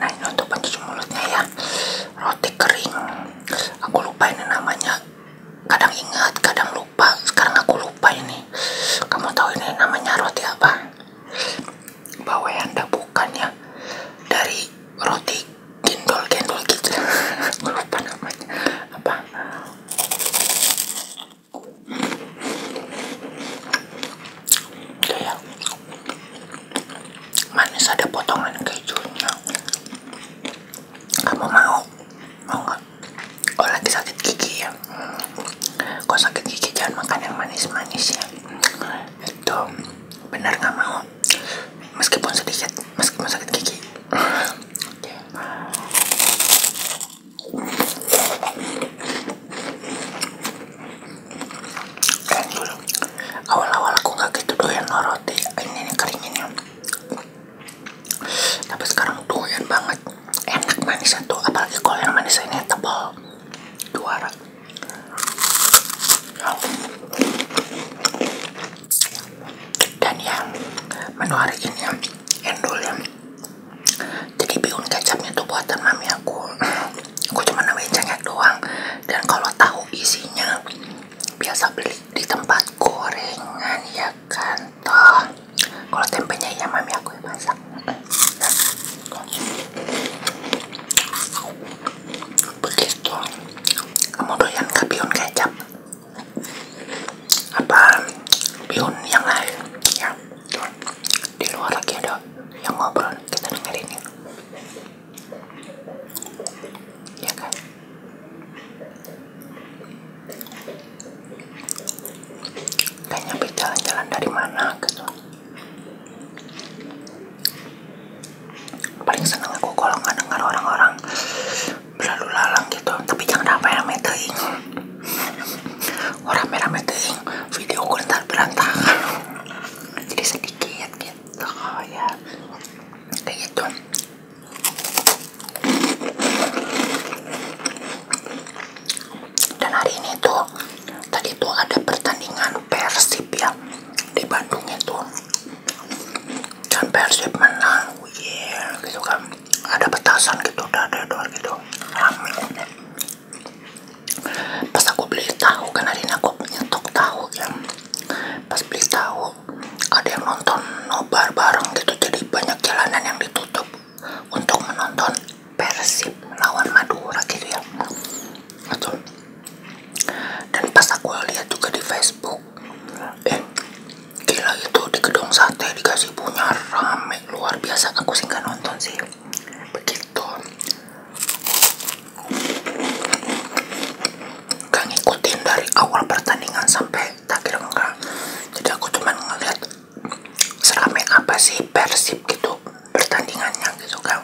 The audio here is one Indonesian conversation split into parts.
nah ini untuk pencuci mulutnya ya roti kering aku lupa ini namanya kadang ingat kadang lupa sekarang aku lupa ini kamu tahu ini namanya roti apa bawahnya bukannya dari roti gendol-gendol gitu aku lupa namanya apa ya manis ada potongan kejunya kamu mau mau nggak oh lagi sakit gigi ya hmm. sakit gigi jangan makan yang manis-manis ya itu benar nggak mau meskipun sedikit meskipun sakit gigi dan awal-awal aku nggak gitu doyan loh roti ini nih keringinnya tapi sekarang doyan banget enak manisnya tuh apalagi kalau yang manis ini tebal juara dan yang menu hari ini ya, endol ya jadi bihun kecapnya tuh buatan mami aku gue cuma namain cengek doang dan kalau tahu isinya biasa beli di tempat gorengan ya kan toh kalau tempenya ya mami aku yang masak begitu kamu doyan ke kecap apa bihun yang lain ya di luar lagi ada yang ngobrol kita dengerin ini ya ya kan gak jalan-jalan dari mana gitu paling seneng aku kalau nggak dengar orang-orang berlalu lalang gitu tapi jangan rame-rame ya, teing orang merah rame teing video ku ntar berantakan jadi sedikit gitu ya kayak gitu dan hari ini tuh tadi tuh ada pertandingan Persib ya di Bandung itu dan Persib menang yeah, gitu kan ada petasan gitu udah dadador gitu rame pas aku beli tahu kan hari ini aku nyetok tahu yang pas beli tahu ada yang nonton nobar bareng gitu jadi banyak jalanan yang ditutup untuk menonton Persib lawan Madura gitu ya betul dan pas aku lihat juga di Facebook eh gila itu di gedung sate dikasih punya rame luar biasa aku singkan nonton sih begitu kang ikutin dari awal pertandingan sampai terakhir enggak jadi aku cuma ngeliat seramai apa sih persib gitu pertandingannya gitu kang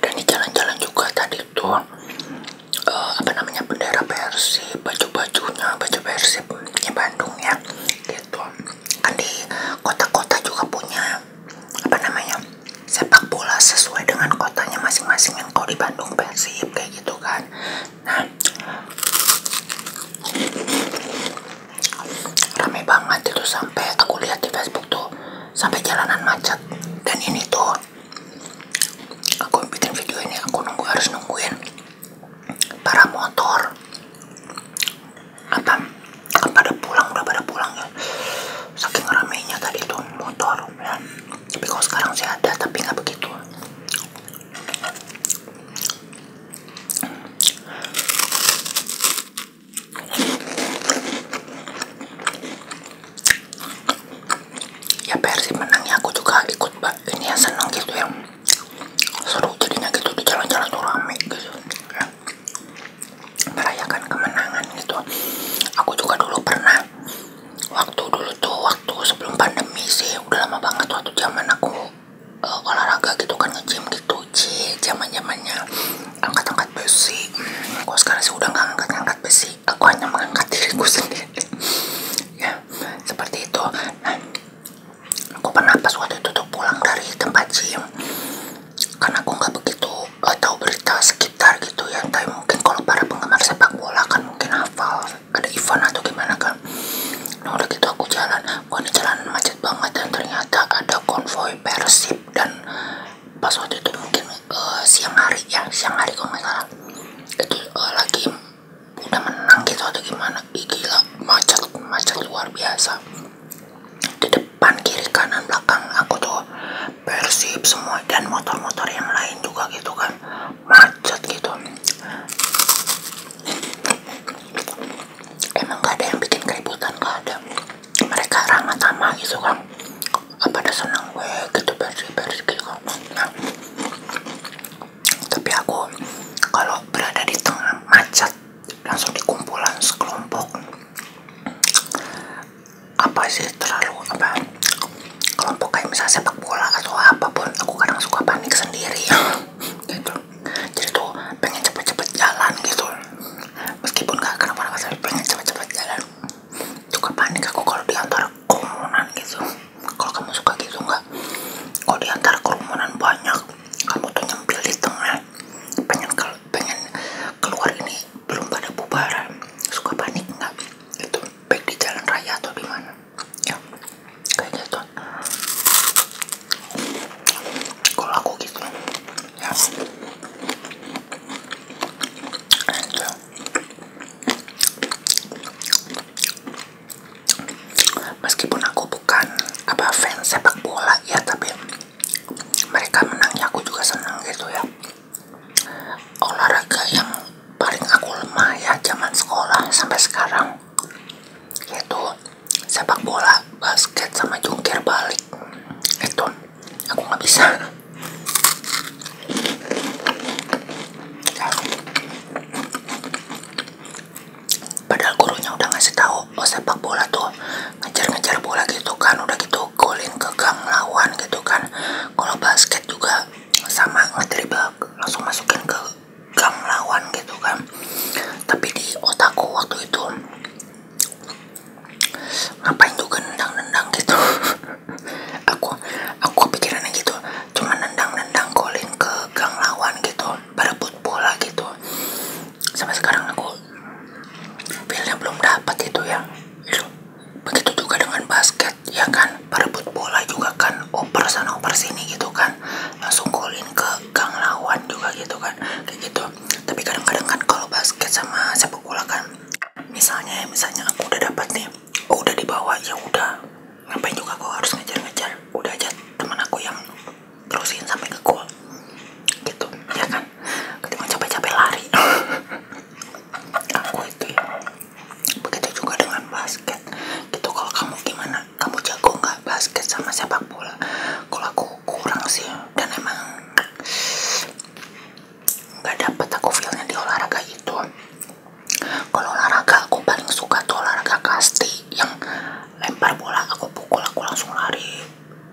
dan di jalan-jalan juga tadi itu eh, apa namanya bendera persib baju-bajunya baju persib di ya, gitu kan di kota-kota juga punya apa namanya sepak bola sesuai dengan kotanya masing-masing yang kau di Bandung Persib kayak gitu kan nah rame banget itu sampai aku lihat di Facebook tuh sampai jalanan macet dan ini tuh aku bikin video ini aku nunggu harus nungguin para motor apa kan pada pulang udah pada pulang ya saking ramainya tadi tuh motor ya. tapi kalau sekarang sih ada tapi nggak begitu ya Persib menangnya aku juga ikut pak, ini ya seneng gitu ya seru jadinya gitu di jalan-jalan tuh rame gitu ya. merayakan kemenangan gitu aku juga dulu pernah waktu dulu tuh waktu sebelum pandemi sih udah lama banget waktu zaman aku eh, olahraga gitu kan nge-gym gitu cie zaman zamannya angkat-angkat besi hmm, aku sekarang sih udah nggak angkat-angkat besi aku hanya mengangkat diriku sendiri ya seperti itu nah, aku pernah pas waktu itu tuh pulang dari tempat gym karena aku nggak begitu uh, tahu berita sekitar gitu ya tapi mungkin kalau para penggemar sepak bola kan mungkin hafal ada event atau gimana kan nah udah gitu aku jalan wah ini jalan macet banget dan ternyata ada konvoy persib dan pas waktu itu mungkin eh, siang hari ya siang hari kalau nggak salah itu eh, lagi udah menang gitu atau gimana Ih, gila macet macet luar biasa di depan kiri kanan belakang aku tuh persib semua dan motor-motor yang lain juga gitu kan macet gitu emang gak ada yang bikin keributan gak ada mereka ramah tamah gitu kan ada senang gue gitu bersih bersih gitu kan nah, tapi aku kalau berada di tengah macet langsung dikumpulan sekelompok apa sih terlalu apa kelompok kayak misalnya sepak bola atau apapun aku kadang suka panik sendiri gitu jadi tuh pengen cepet-cepet jalan gitu meskipun gak kenapa kenapa tapi pengen cepet-cepet jalan suka panik aku kalau di antara gitu kalau kamu suka gitu nggak kalau diantar kerumunan banyak kamu tuh nyempil di tengah pengen keluar ini belum pada bubaran suka panik nggak itu baik di jalan raya atau di mana ya kayak gitu kalau aku gitu ya Enjoy meskipun aku bukan apa fans sepak bola ya tapi mereka menangnya aku juga senang gitu ya olahraga yang paling aku lemah ya zaman sekolah sampai sekarang yaitu sepak bola basket sama jungkir balik itu aku nggak bisa padahal gurunya udah ngasih tahu oh sepak bola tuh ngejar-ngejar bola gitu kan udah gitu golin ke gang lawan gitu kan kalau basket juga sama ngedribble langsung masukin ke gang lawan gitu kan tapi di otakku waktu itu ngapain juga nendang-nendang gitu aku aku pikirannya gitu cuma nendang-nendang golin ke gang lawan gitu berebut bola gitu sampai sekarang aku feelnya belum dapat gitu ya. itu ya begitu juga dengan basket ya kan berebut bola juga kan oper sana oper sini gitu kan langsung golin ke gang lawan juga gitu kan kayak gitu tapi kadang-kadang kan kalau basket sama sepak bola kan misalnya misalnya aku udah dapat nih oh udah dibawa ya udah ngapain juga kau harus ngejar-ngejar udah aja teman aku yang terusin sampai ke gue gitu ya kan gitu, ketika capek-capek lari aku itu ya, begitu juga dengan basket gitu kalau kamu gimana kamu jago nggak basket sama sepak bola kalau aku kurang sih dan emang nggak dapet aku feelnya di olahraga itu kalau olahraga aku paling suka tuh olahraga kasti yang lempar bola aku pukul aku langsung lari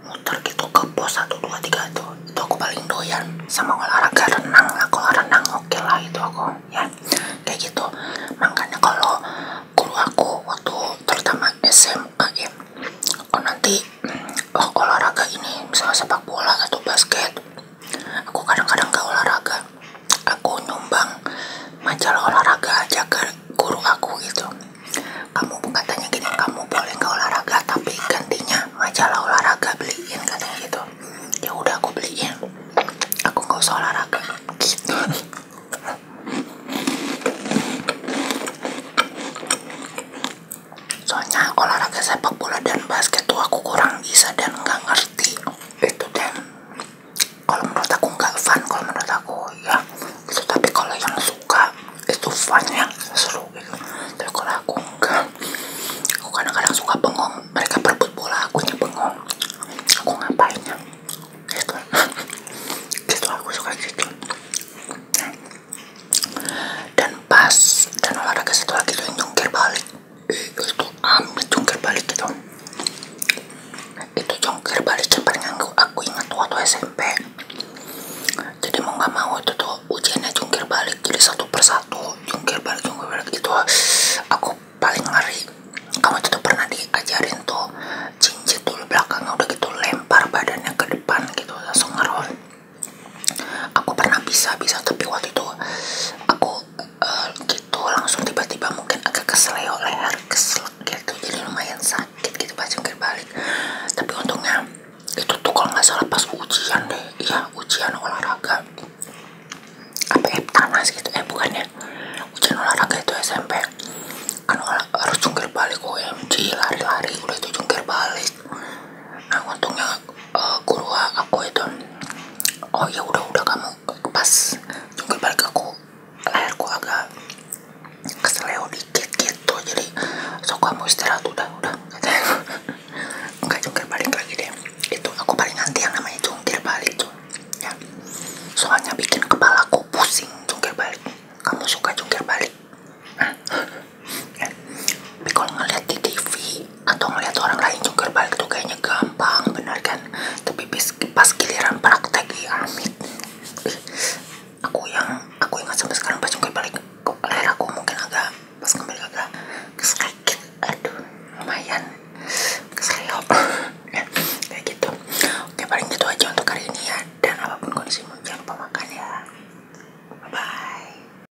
muter gitu ke pos 1, dua tiga tuh itu aku paling doyan sama olahraga renang lah olah renang oke lah itu aku ya kayak gitu makanya kalau guru aku waktu terutama SMK ya oh nanti oh, olahraga ini misalnya sepak bola atau basket aku kadang-kadang gak olahraga aku nyumbang majalah olahraga aja ke guru aku gitu kamu katanya gini kamu boleh nggak olahraga tapi gantinya majalah olahraga beliin katanya gitu ya udah aku beliin aku nggak usah olahraga gitu. soalnya olahraga sepak bola dan basket tuh aku kurang bisa dan nggak ngerti itu dan kalau menurut aku nggak fun kalau menurut aku ya itu tapi kalau yang suka itu fun yang seru gitu tapi kalau aku enggak aku kadang-kadang suka bengong mereka berebut bola aku bengong aku ngapain ya itu gitu aku suka gitu dan pas dan olahraga satu lagi itu nyungkir balik itu amit nah, jungkir balik dong itu jungkir balik cepat yang aku ingat waktu SMP jadi mau nggak mau itu tuh ujiannya jungkir balik jadi satu persatu jungkir balik jungkir balik itu aku paling ngeri kamu tuh pernah diajarin tuh cincin dulu belakang udah gitu lempar badannya ke depan gitu langsung ngerol aku pernah bisa bisa tapi waktu itu aku uh, gitu langsung tiba-tiba mungkin agak kesleo leher keslek gitu jadi lumayan sakit gitu pas jungkir balik tapi untungnya itu tuh kalau nggak salah pas ujian deh iya ujian olahraga apa eh tanas gitu eh bukannya ujian olahraga itu SMP kan harus jungkir balik OMG lari-lari udah itu jungkir balik nah untungnya uh, guru aku itu oh ya udah udah kamu pas jungkir balik aku leherku agak keseleo dikit tuh gitu, jadi so mau istirahat udah udah nggak jungkir balik lagi deh itu aku paling anti yang namanya jungkir balik tuh ya soalnya bikin kepalaku pusing jungkir balik kamu suka jungkir balik tapi kalau ngeliat di TV atau ngeliat orang lain jungkir balik tuh kayaknya gampang bener kan tapi pas giliran praktik ya amit aku yang aku ingat sampai sekarang pas jungkir balik leher aku mungkin agak pas kembali agak kesekit aduh lumayan keseliop kayak gitu oke paling gitu aja untuk hari ini ya dan apapun kondisi jangan lupa makan ya bye bye